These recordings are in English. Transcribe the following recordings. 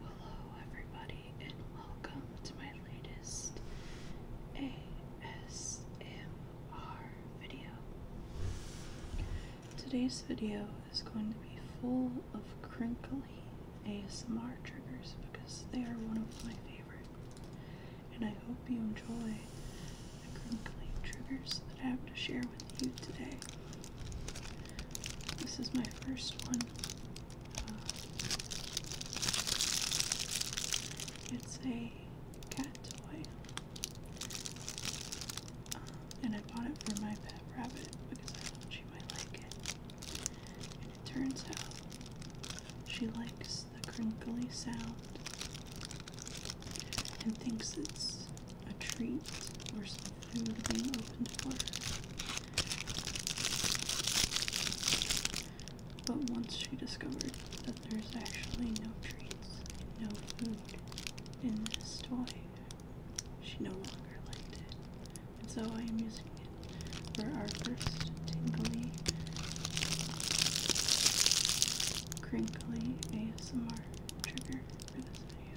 Hello, everybody, and welcome to my latest ASMR video. Today's video is going to be full of crinkly ASMR triggers because they are one of my favorite and I hope you enjoy the crinkling triggers that I have to share with you today. This is my first one. Uh, it's a cat toy, um, and I bought it for my pet rabbit because I thought she might like it. And it turns out she likes the crinkly sound and thinks it's a treat or some food being opened for her. But once she discovered that there's actually no treats, no food in this toy, she no longer liked it. And so I am using it for our first tingly, crinkly ASMR trigger for this video.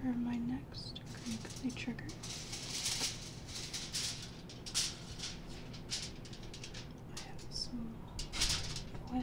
For my next crinkly triggered, I have some foil.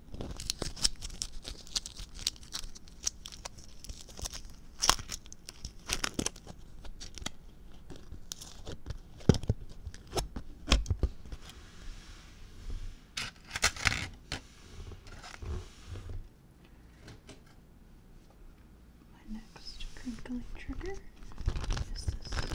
My next crinkly trigger is this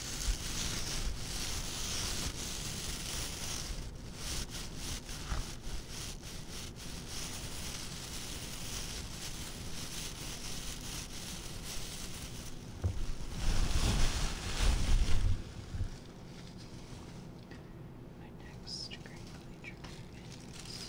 My next crinkly trigger is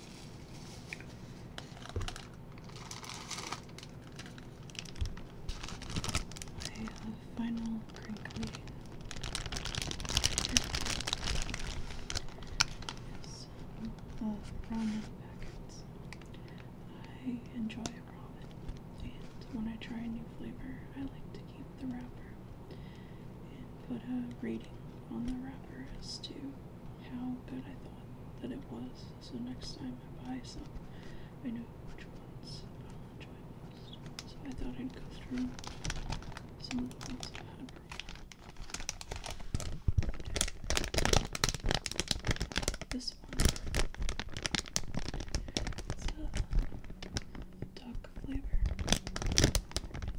I have final crinkly some of ramen packets. I enjoy ramen, and when I try a new flavor, I like to keep the wrapper and put a rating on the wrapper as to how good I thought that it was so next time I buy some, I know which ones I'll enjoy most. So I thought I'd go through some of the ones I had This one, it's a duck flavor.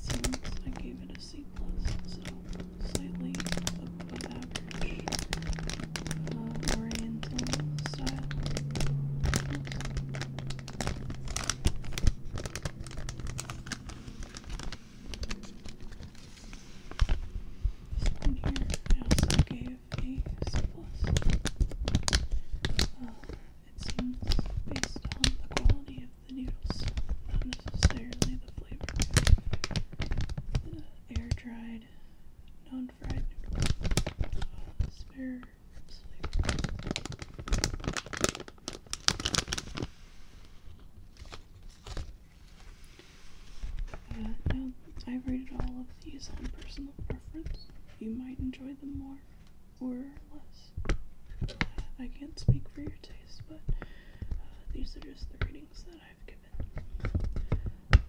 It I gave it a C plus, so slightly above average uh, style. This here I also gave a C plus. Uh, it seems based on the quality of the noodles, not necessarily air dried, non fried spare ribs uh, I've rated all of these on personal preference. You might enjoy them more or less. I can't speak for your taste, but uh, these are just the readings that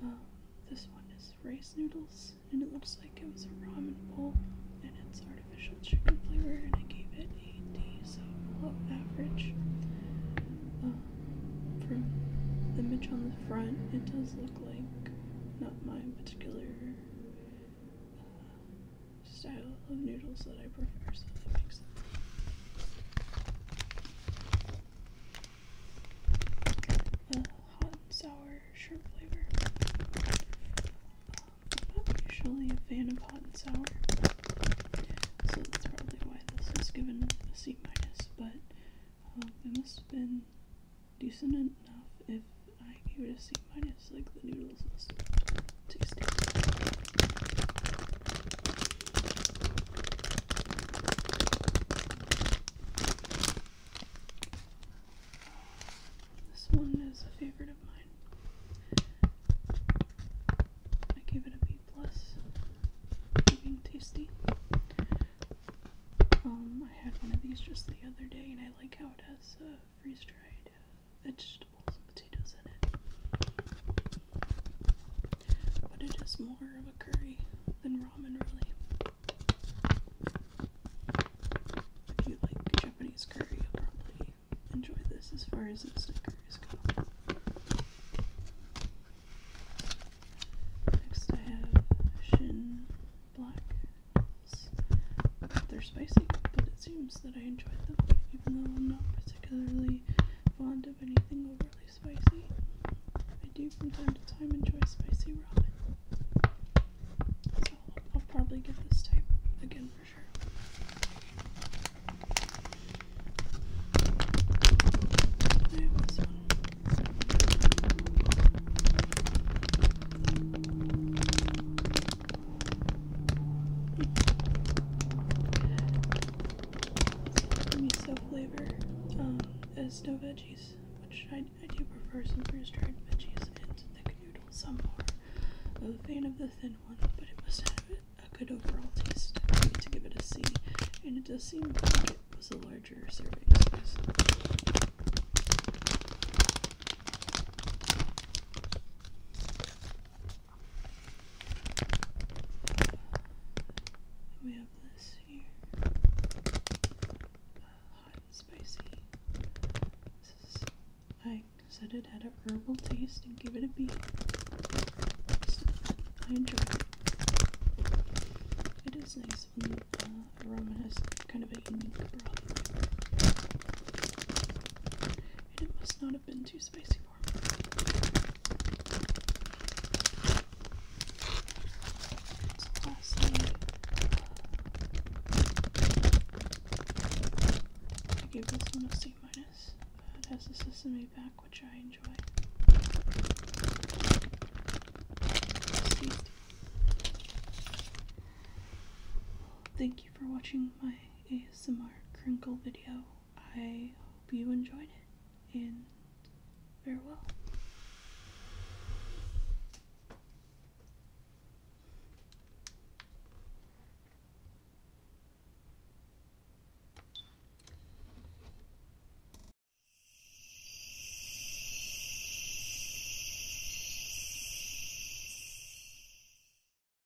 um, this one is rice noodles, and it looks like it was a ramen bowl, and it's artificial chicken flavor, and I gave it a D, so below average. Um, from the image on the front, it does look like not my particular uh, style of noodles that I prefer, so that makes sense. hot and sour shrimp flavor. I'm not usually a fan of hot and sour, so that's probably why this is given a C minus. But um, it must have been decent enough if I gave it a C minus. Like the noodles this one is a favorite of mine. I gave it a B being tasty. Um, I had one of these just the other day, and I like how it has a uh, freeze dried uh, vegetables and potatoes in it. But it is more of a curry than ramen, really. If you like Japanese curry, you'll probably enjoy this as far as instant curries go. Next, I have Shin Black. They're spicy, but it seems that I enjoyed them, even though I'm not particularly fond of anything overly spicy. I do from time to time enjoy spicy ramen. So I'll probably get this type again for sure miso flavor um, as no veggies, I, do prefer some freeze dried veggies and thick noodles. Some more of a fan of the thin one, but it must have a good overall taste to give it a C, and it does seem like it was a larger serving we have this here. Uh, hot and spicy. This is, I said it had a herbal taste and give it a beat. enjoy it. It is nice when the uh, aroma has kind of a unique broth. it must not have been too spicy so I give this one a C minus. Uh, has the sesame back, which I enjoy. Thank you for watching my ASMR crinkle video. I hope you enjoyed it, and farewell.